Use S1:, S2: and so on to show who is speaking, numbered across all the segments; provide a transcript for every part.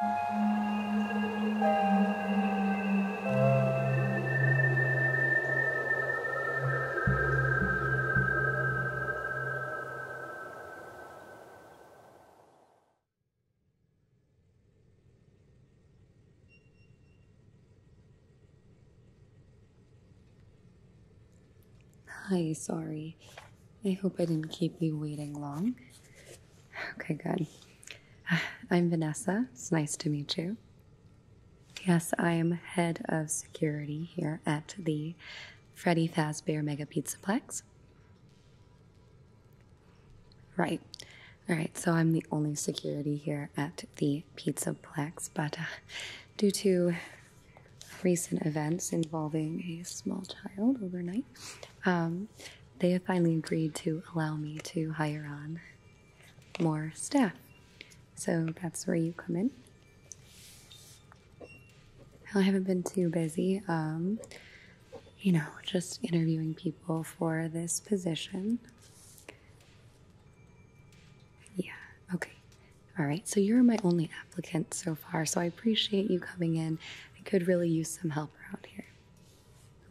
S1: Hi, sorry. I hope I didn't keep you waiting long. Okay, good. I'm Vanessa. It's nice to meet you. Yes, I am head of security here at the Freddy Fazbear Mega Pizza Plex. Right. All right, so I'm the only security here at the Pizza Plex, but uh, due to recent events involving a small child overnight, um, they have finally agreed to allow me to hire on more staff. So that's where you come in. I haven't been too busy, um, you know, just interviewing people for this position. Yeah, okay. All right, so you're my only applicant so far, so I appreciate you coming in I could really use some help around here.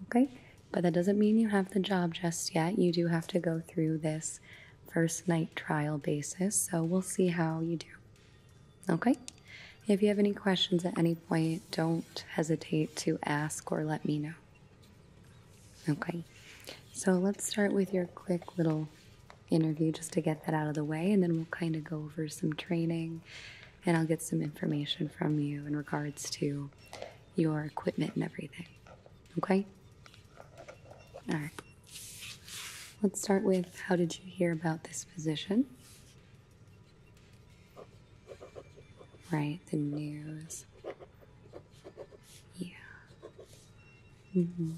S1: Okay? But that doesn't mean you have the job just yet. You do have to go through this first night trial basis, so we'll see how you do. Okay? If you have any questions at any point, don't hesitate to ask or let me know. Okay, so let's start with your quick little interview just to get that out of the way, and then we'll kind of go over some training and I'll get some information from you in regards to your equipment and everything. Okay? All right. Let's start with how did you hear about this position? Right, the news. Yeah. Mm -hmm.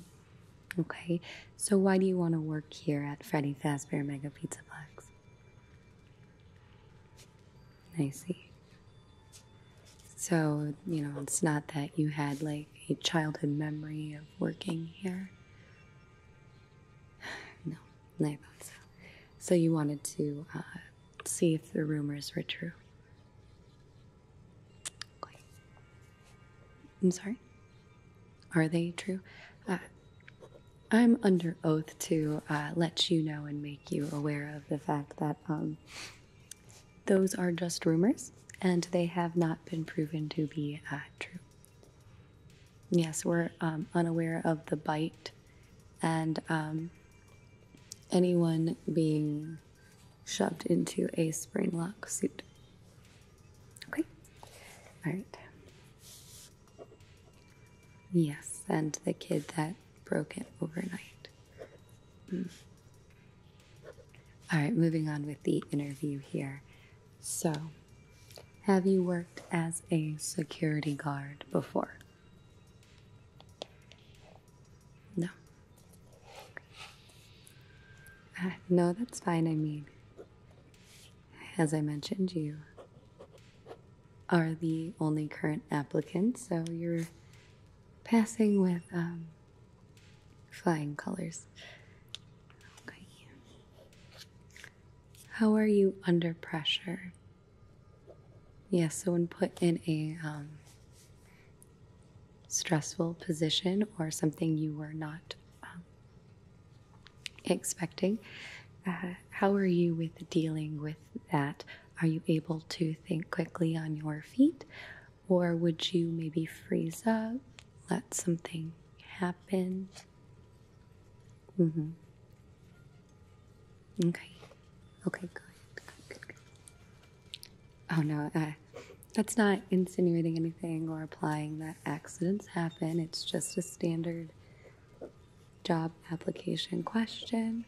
S1: Okay. So why do you want to work here at Freddy Fazbear Mega Pizzaplex? I see. So, you know, it's not that you had like a childhood memory of working here. No, I thought so. So you wanted to uh, see if the rumors were true. I'm sorry? Are they true? Uh, I'm under oath to uh, let you know and make you aware of the fact that um, those are just rumors and they have not been proven to be uh, true. Yes, we're um, unaware of the bite and um, anyone being shoved into a spring lock suit. Okay. All right. Yes, and the kid that broke it overnight. Hmm. All right, moving on with the interview here. So, have you worked as a security guard before? No. Uh, no, that's fine. I mean, as I mentioned, you are the only current applicant, so you're passing with um, flying colors. Okay. How are you under pressure? Yes, so when put in a um, stressful position or something you were not um, expecting. Uh, how are you with dealing with that? Are you able to think quickly on your feet? Or would you maybe freeze up, let something happen? Mm-hmm. Okay. Okay, good. Oh no, uh, that's not insinuating anything or applying that accidents happen. It's just a standard job application question.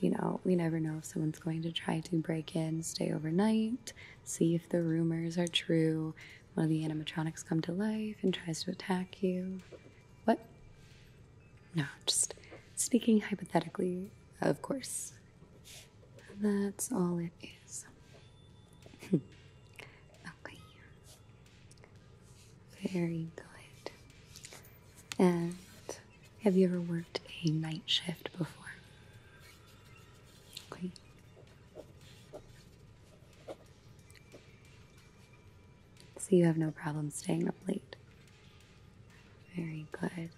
S1: You know, we never know if someone's going to try to break in, stay overnight, see if the rumors are true, one of the animatronics come to life and tries to attack you. What? No, just speaking hypothetically, of course. That's all it is okay. Very good. And have you ever worked a night shift before? Okay. So you have no problem staying up late. Very good.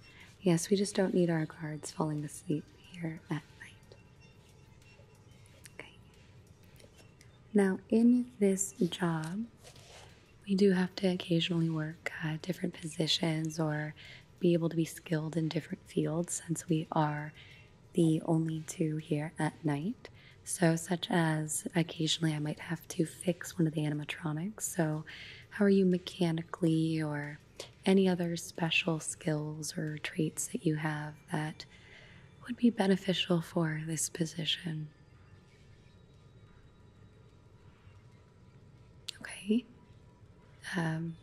S1: Yes, we just don't need our guards falling asleep here at night. Now, in this job, we do have to occasionally work uh, different positions or be able to be skilled in different fields since we are the only two here at night. So, such as occasionally I might have to fix one of the animatronics. So, how are you mechanically or any other special skills or traits that you have that would be beneficial for this position. Okay. Um,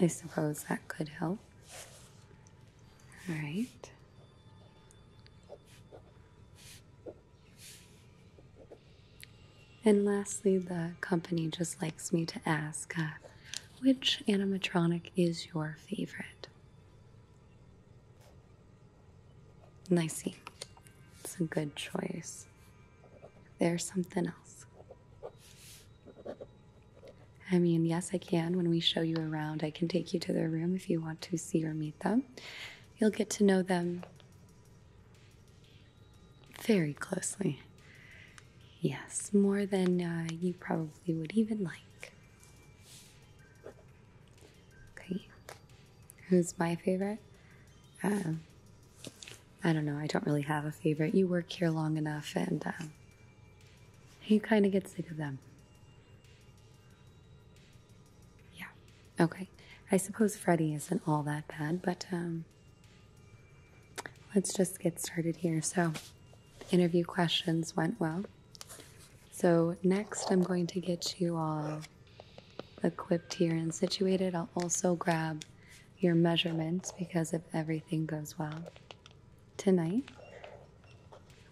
S1: I suppose that could help. All right. And lastly, the company just likes me to ask uh, which animatronic is your favorite? Nicey. It's a good choice. There's something else. I mean, yes, I can. When we show you around, I can take you to their room if you want to see or meet them. You'll get to know them very closely. Yes, more than uh, you probably would even like. Okay. Who's my favorite? Uh, I don't know. I don't really have a favorite. You work here long enough and uh, you kind of get sick of them. Yeah. Okay. I suppose Freddy isn't all that bad, but um, let's just get started here. So, interview questions went well. So, next, I'm going to get you all equipped here and situated. I'll also grab your measurements because if everything goes well tonight,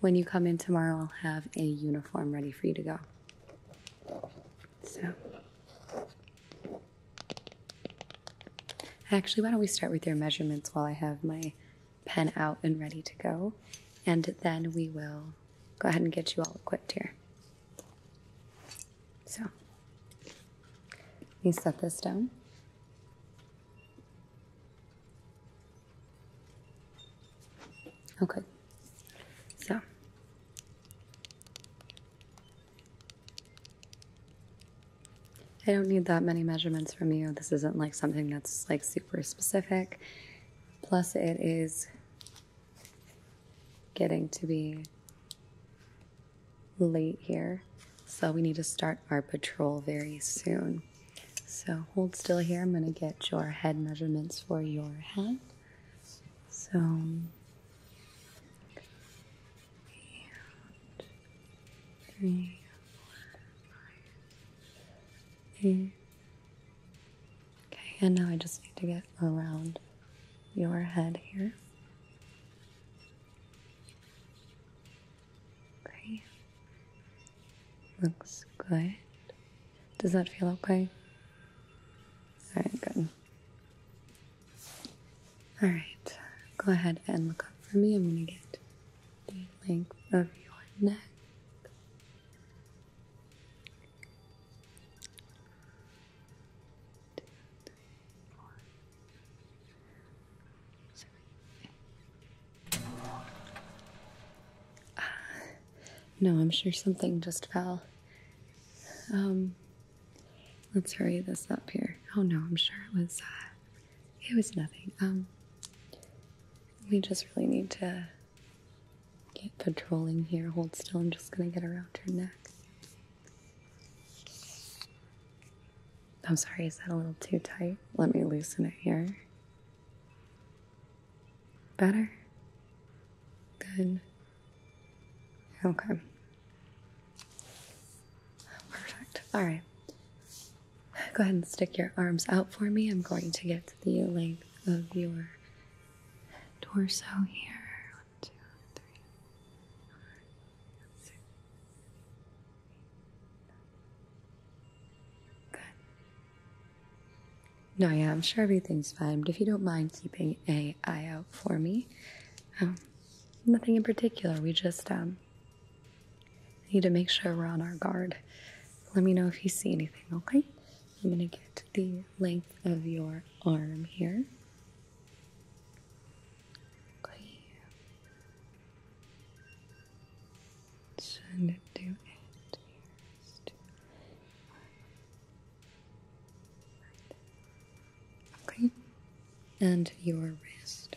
S1: when you come in tomorrow, I'll have a uniform ready for you to go. So, Actually, why don't we start with your measurements while I have my pen out and ready to go, and then we will go ahead and get you all equipped here. So, you set this down. Okay. Oh, so, I don't need that many measurements from you. This isn't like something that's like super specific. Plus, it is getting to be late here. So, we need to start our patrol very soon. So, hold still here. I'm going to get your head measurements for your head. So, and Okay, and now I just need to get around your head here. Okay. Looks good. Does that feel okay? Alright, good. All right, go ahead and look up for me. I'm going to get the length of your neck. Ah, no, I'm sure something just fell. Um, Let's hurry this up here. Oh no, I'm sure it was uh, it was nothing. Um, we just really need to get patrolling here. Hold still, I'm just gonna get around your neck. I'm sorry, is that a little too tight? Let me loosen it here. Better? Good. Okay. Perfect. All right. Go ahead and stick your arms out for me. I'm going to get the length of your torso here. Good. No, yeah, I'm sure everything's fine, but if you don't mind keeping a eye out for me, um, nothing in particular. We just um, need to make sure we're on our guard. Let me know if you see anything, okay? I'm going to get the length of your arm here. Okay. Should do it first. Right. Okay, and your wrist.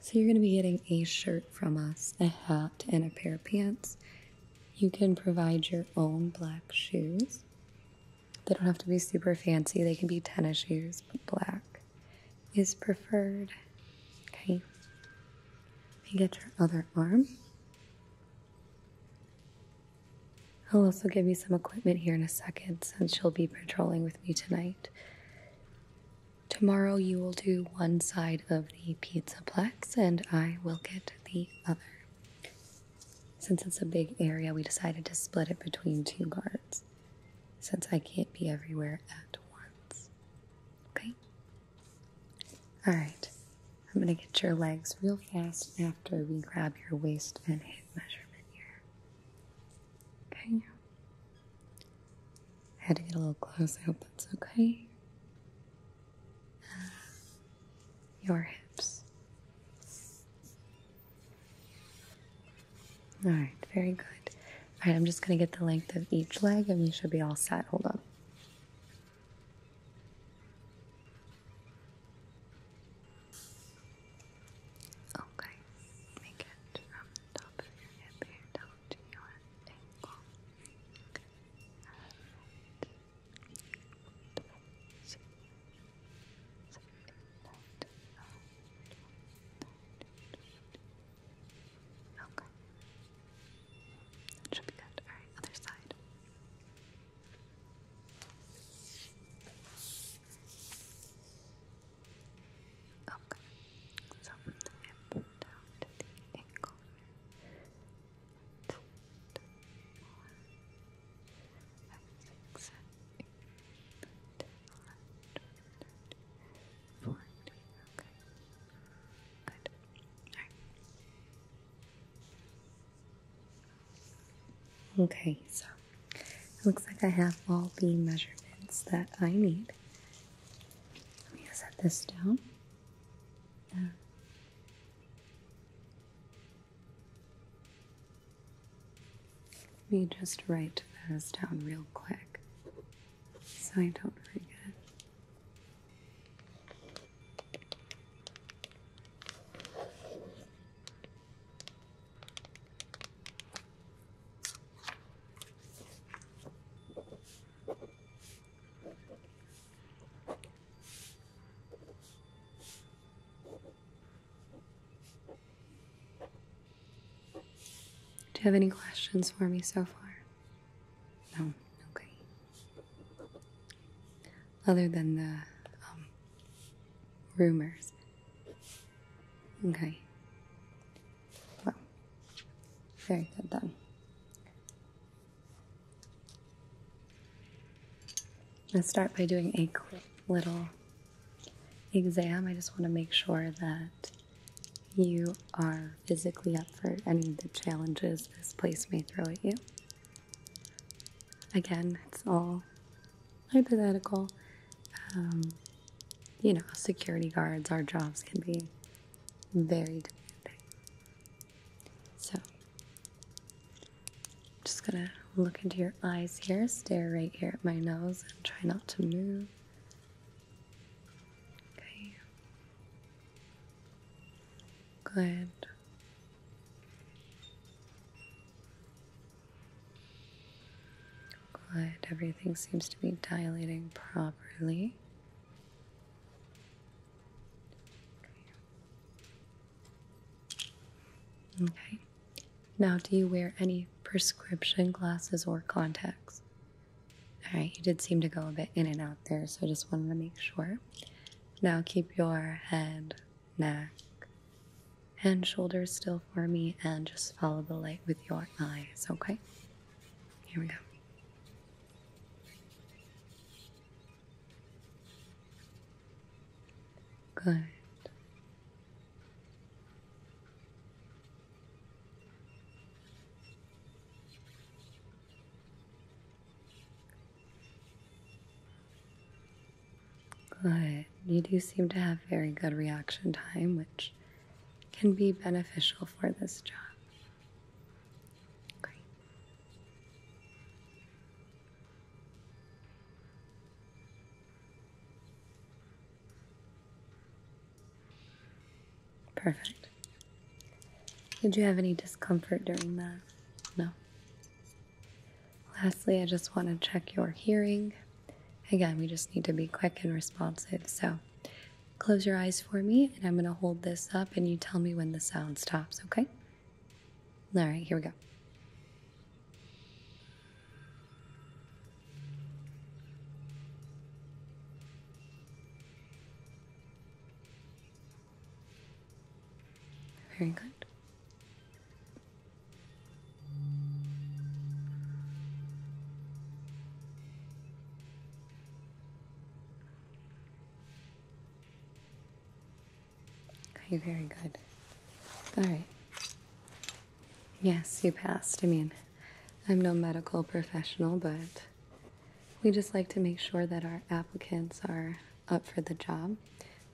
S1: So you're going to be getting a shirt from us, a hat, and a pair of pants. You can provide your own black shoes. They don't have to be super fancy, they can be tennis shoes, but black is preferred. Okay. Let me get your other arm. I'll also give you some equipment here in a second since you'll be patrolling with me tonight. Tomorrow you will do one side of the pizza plex and I will get the other. Since it's a big area, we decided to split it between two guards since I can't be everywhere at once. Okay? Alright, I'm going to get your legs real fast after we grab your waist and hip measurement here. Okay? I had to get a little close. I hope that's okay. Uh, your hips. Alright, very good. Alright, I'm just going to get the length of each leg and we should be all set. Hold on. Okay, make it from top of your hip down to your ankle. okay. should be good. Alright, other side. Okay, so from the hip down to the ankle. Two, two, four, five, six, seven, eight, nine, ten, eleven, twelve, thirteen, fourteen. Okay, good. All right. Okay, so it looks like I have all the measurements that I need. Let me set this down. let me just write those down real quick so I don't forget. Do you have any questions for me so far? No, oh, okay. Other than the um, rumors. Okay. Well, very good then. Let's start by doing a quick little exam. I just want to make sure that you are physically up for any of the challenges this place may throw at you. Again, it's all hypothetical. Um, you know, security guards, our jobs can be very demanding. So, I'm just gonna look into your eyes here, stare right here at my nose, and try not to move. Okay, Good. Good. Everything seems to be dilating properly. Okay. Now, do you wear any prescription glasses or contacts? All right, you did seem to go a bit in and out there, so I just wanted to make sure. Now keep your head, neck, and shoulders still for me, and just follow the light with your eyes, okay? Here we go. Good. But you do seem to have very good reaction time, which can be beneficial for this job. Great. Perfect. Did you have any discomfort during that? No. Lastly, I just want to check your hearing. Again, we just need to be quick and responsive. So close your eyes for me, and I'm going to hold this up, and you tell me when the sound stops, okay? All right, here we go. Very good. Okay, very good. All right. Yes, you passed. I mean, I'm no medical professional, but we just like to make sure that our applicants are up for the job,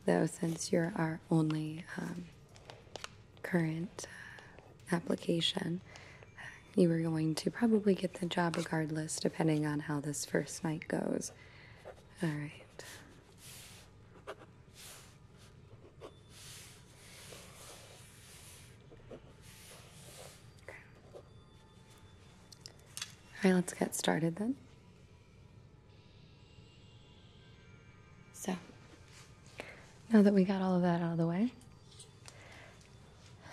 S1: though, since you're our only um, current uh, application, you are going to probably get the job regardless, depending on how this first night goes. All right. All right, let's get started then. So, now that we got all of that out of the way,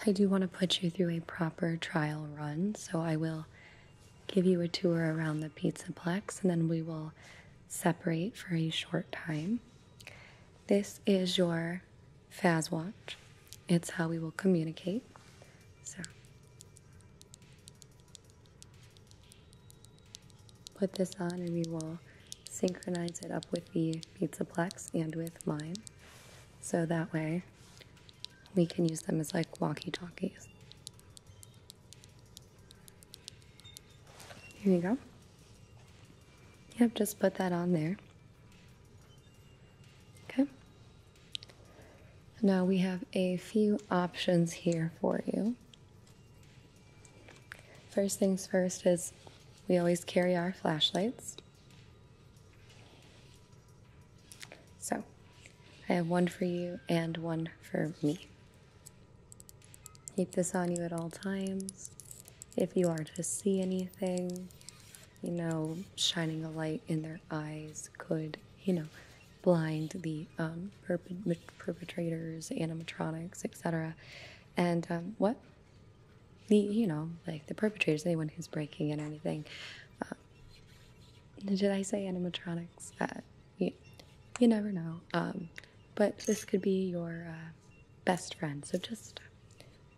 S1: I do want to put you through a proper trial run. So, I will give you a tour around the Pizza Plex and then we will separate for a short time. This is your Faz watch. It's how we will communicate. So put this on and we will synchronize it up with the Pizza Plex and with mine. So that way we can use them as like walkie-talkies. Here you go. Yep, just put that on there. Okay. Now we have a few options here for you. First things first is we always carry our flashlights. So I have one for you and one for me. Keep this on you at all times if you are to see anything, you know, shining a light in their eyes could, you know, blind the um, perpetrators, animatronics, etc. And um, what? The, you know, like the perpetrators, anyone who's breaking in or anything. Uh, did I say animatronics? Uh, you, you never know. Um, but this could be your uh, best friend. So just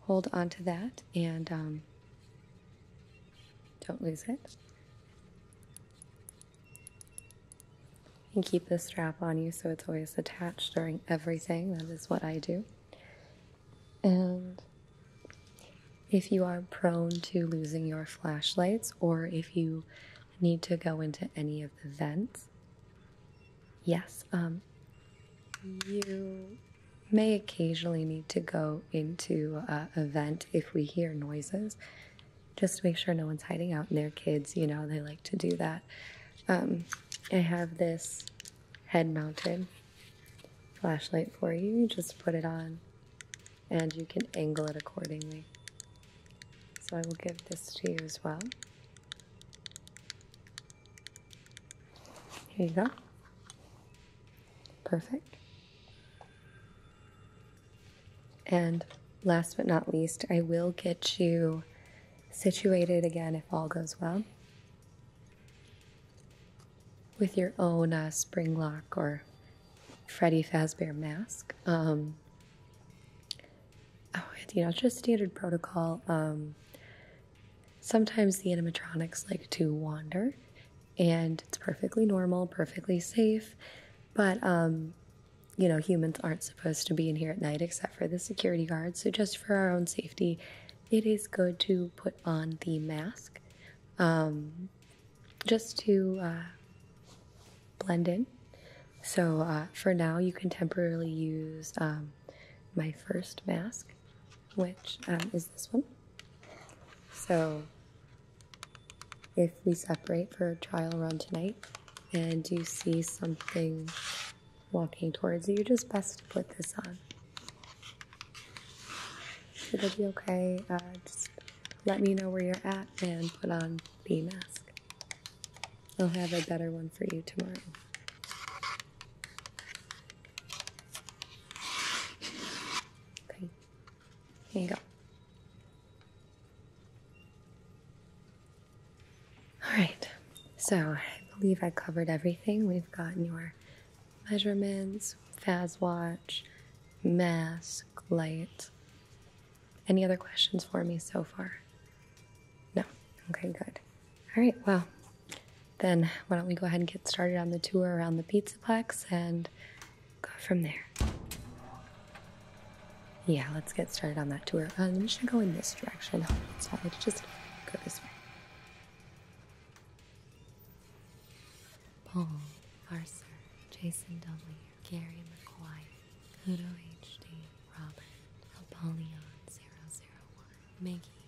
S1: hold on to that and um, don't lose it. And keep the strap on you so it's always attached during everything. That is what I do. And if you are prone to losing your flashlights or if you need to go into any of the vents, yes, um, you may occasionally need to go into a vent if we hear noises. Just make sure no one's hiding out in their kids. You know, they like to do that. Um, I have this head mounted flashlight for you. You just put it on and you can angle it accordingly. So I will give this to you as well. Here you go. Perfect. And last but not least, I will get you situated again if all goes well with your own uh, spring lock or Freddy Fazbear mask. Um, Oh, you know, just standard protocol. Um, sometimes the animatronics like to wander, and it's perfectly normal, perfectly safe. But, um, you know, humans aren't supposed to be in here at night except for the security guards. So, just for our own safety, it is good to put on the mask um, just to uh, blend in. So, uh, for now, you can temporarily use my first mask, which um, is this one. So, if we separate for a trial run tonight and you see something walking towards you, just best to put this on. It'll be okay. Uh, just let me know where you're at and put on the mask. I'll have a better one for you tomorrow. Okay, here you go. All right, so I believe I covered everything. We've gotten your measurements, FAS watch, mask, light, any other questions for me so far? No. Okay, good. All right, well, then why don't we go ahead and get started on the tour around the Pizza Pizzaplex and go from there. Yeah, let's get started on that tour. Uh, I'm just going go in this direction. It's probably just go this way. Paul Arthur, Jason Dudley, Gary McGuire, Hudo HD, Robert, Apollyon 001, Maggie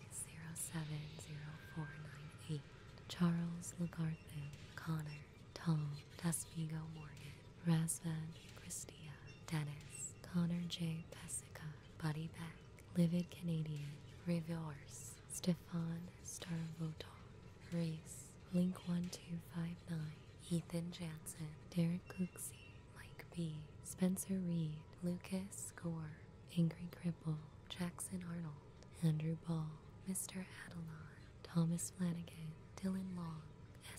S1: 070498, Charles Lagarthu, Connor, Tom, Tasvigo Morgan, Razvan, Christia, Dennis, Connor J. Pesica, Buddy Livid Canadian, Reverse, Stefan Starvoton, Race Link1259, Ethan Jansen, Derek Cooksey, Mike B, Spencer Reed, Lucas Gore, Angry Cripple, Jackson Arnold, Andrew Ball, Mr. Adelon, Thomas Flanagan, Dylan Long,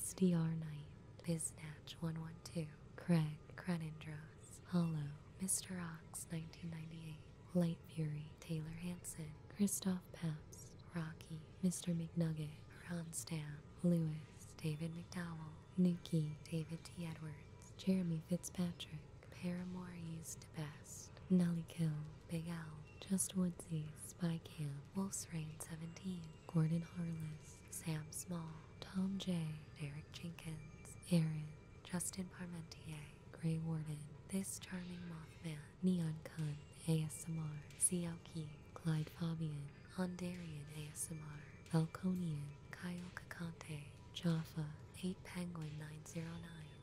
S1: SDR Knight, Biznatch112, Craig, Crenindros, Hollow, Mr. Ox 1998, Light Fury, Taylor Hanson, Christoph Paps, Rocky, Mr. McNugget, Ron Ronstam, Lewis, David McDowell, Nuki, David T. Edwards, Jeremy Fitzpatrick, Paramore used to best, Nelly Kill, Big L, Just Woodsey, Spy Cam, Wolf's Reign 17, Gordon Harless, Sam Small, Tom J, Derek Jenkins, Aaron, Justin Parmentier, Grey Warden, This Charming Mothman, Neon Kun, ASMR, Sioki, Clyde Fabian, Hondarian ASMR, Falconian, Kyle Kakante, Jaffa, 8 Penguin 909,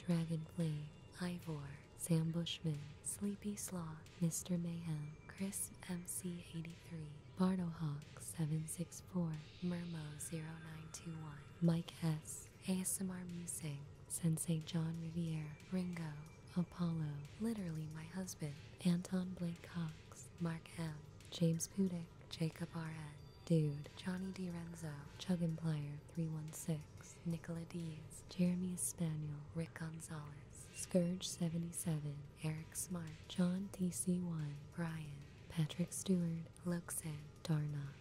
S1: Dragonfly Ivor, Sambushman Sleepy Sloth, Mr. Mayhem, Chris MC83, Bardohawk764, Murmo0921, Mike Hess ASMR Musing, Sensei John Riviere, Ringo, Apollo, literally my husband, Anton Blake Cox, Mark M, James Pudick, Jacob R.N., Dude, Johnny DiRenzo, Chuggenplier 316, Nicola Dees, Jeremy Spaniel, Rick Gonzalez, Scourge 77, Eric Smart, John TC1, Brian, Patrick Stewart, Luxan, Darnock.